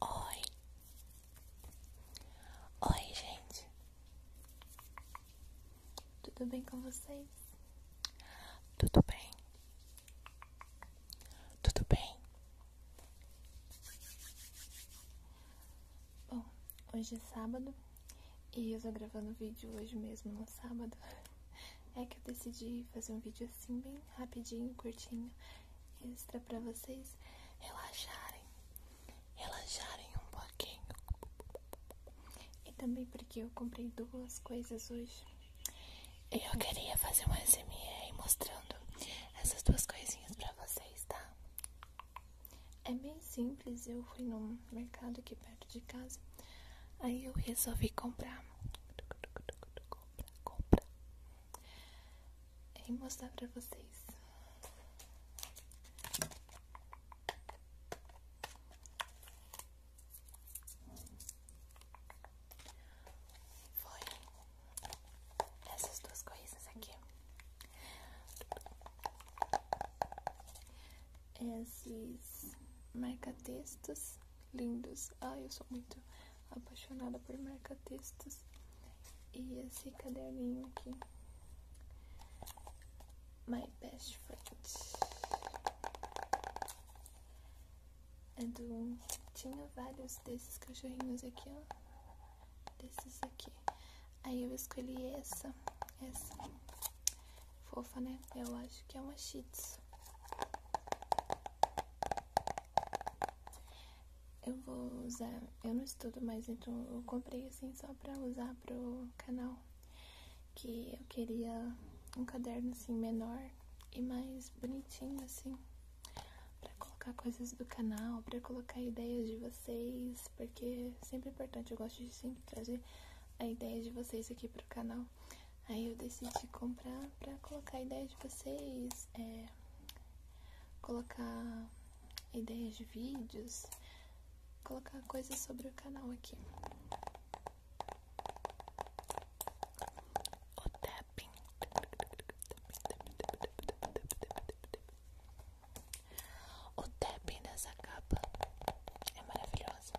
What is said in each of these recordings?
Oi, oi, gente, tudo bem com vocês? Tudo bem, tudo bem. Bom, hoje é sábado e eu tô gravando vídeo hoje mesmo no sábado. É que eu decidi fazer um vídeo assim, bem rapidinho, curtinho, extra pra vocês relaxarem, relaxarem um pouquinho. E também porque eu comprei duas coisas hoje. eu queria fazer um SMR mostrando essas duas coisinhas pra vocês, tá? É bem simples, eu fui num mercado aqui perto de casa, aí eu resolvi comprar compra, compra e mostrar pra vocês. Foi essas duas coisas aqui. Esses marca-textos lindos. Ah, eu sou muito apaixonada por marca-textos. E esse caderninho aqui. My Best Friend. É do... Tinha vários desses cachorrinhos aqui, ó. Desses aqui. Aí eu escolhi essa. Essa. Fofa, né? Eu acho que é uma Shih eu vou usar, eu não estudo mais, então eu comprei assim só para usar pro canal. Que eu queria um caderno assim menor e mais bonitinho assim. Pra colocar coisas do canal, pra colocar ideias de vocês, porque é sempre importante, eu gosto de sempre trazer a ideia de vocês aqui pro canal. Aí eu decidi comprar para colocar ideias ideia de vocês, é, colocar ideias de vídeos, colocar coisas sobre o canal aqui. O tapping. O tapping dessa capa é maravilhosa.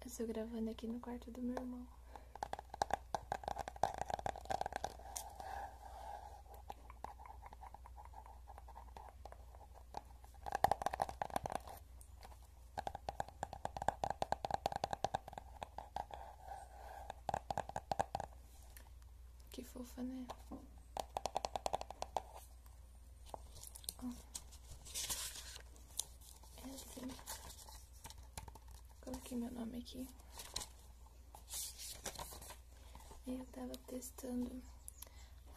Eu estou gravando aqui no quarto do meu irmão. Que fofa, né? Ó. É assim. Coloquei meu nome aqui. Eu estava testando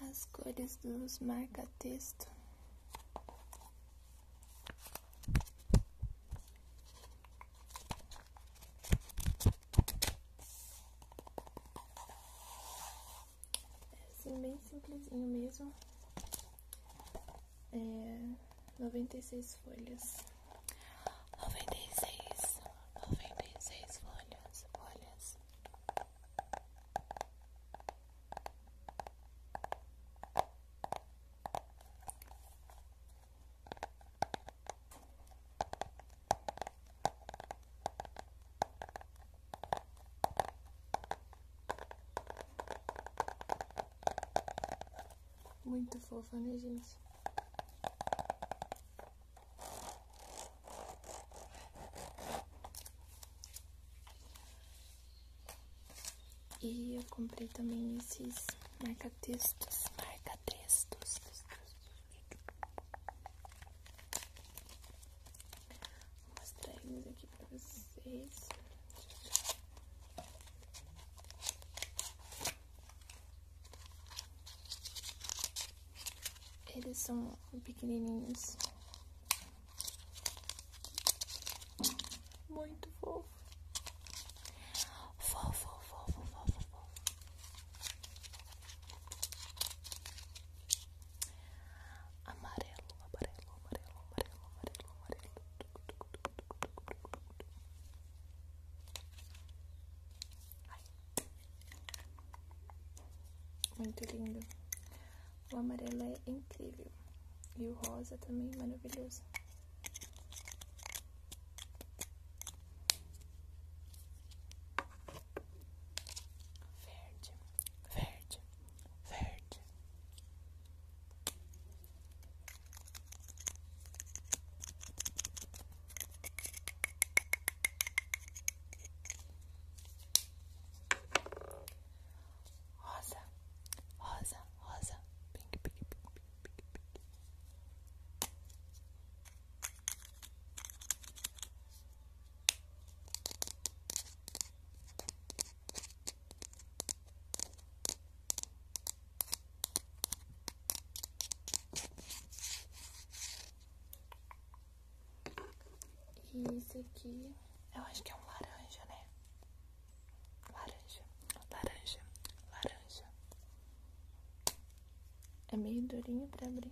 as cores dos marca-texto. É assim, bem simplesinho mesmo. É, noventa e seis folhas. noventa noventa e seis e seis folhas, folhas. Muito fofa, né, gente? E eu comprei também esses marca-textos, marca-textos. Vou mostrar eles aqui pra vocês. Eles são pequenininhos. Muito fofo. Fofo, fofo, fofo, fofo. Amarelo, amarelo, amarelo, amarelo, amarelo, amarelo. Muito lindo. O amarelo é incrível. E o rosa também maravilhoso verde, verde, verde. Rosa, rosa, rosa, pink, pink, pink, pink, pink. E esse aqui, eu acho que é um laranja, né? Laranja, laranja, laranja. É meio durinho para abrir.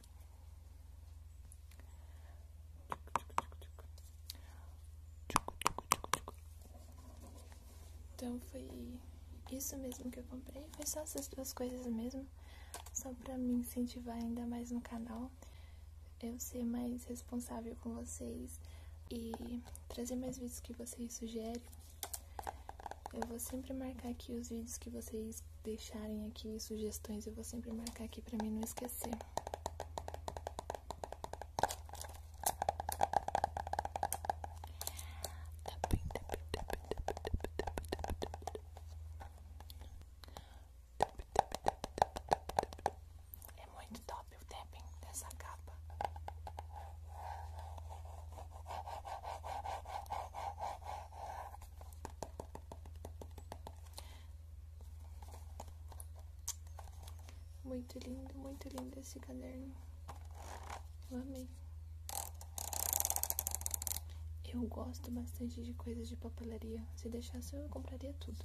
Então foi isso mesmo que eu comprei. Foi só essas duas coisas mesmo. Só pra me incentivar ainda mais no canal. Eu ser mais responsável com vocês. E trazer mais vídeos que vocês sugerem. Eu vou sempre marcar aqui os vídeos que vocês deixarem aqui, sugestões. Eu vou sempre marcar aqui pra mim não esquecer esquecer. É muito top o tapping dessa capa. Muito lindo, muito lindo esse caderno. Eu amei. Eu gosto bastante de coisas de papelaria. Se deixasse, eu compraria tudo.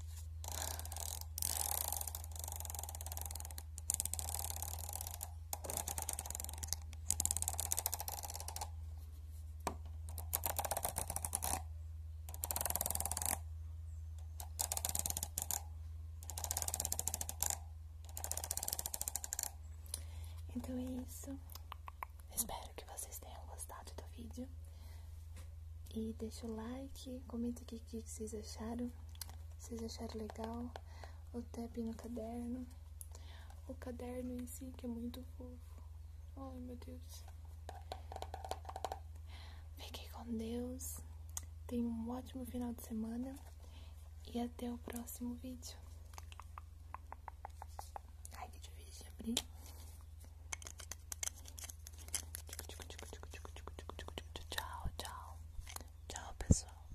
Então é isso. Espero que vocês tenham gostado do vídeo. E deixa o like, comente aqui o que vocês acharam. Vocês acharam legal o tab no caderno. O caderno em si que é muito fofo. Oh, meu Deus. Fiquem com Deus. tenha um ótimo final de semana. E até o próximo vídeo. Ai, que difícil de abrir. Tchau, tchau. Tchau, pessoal.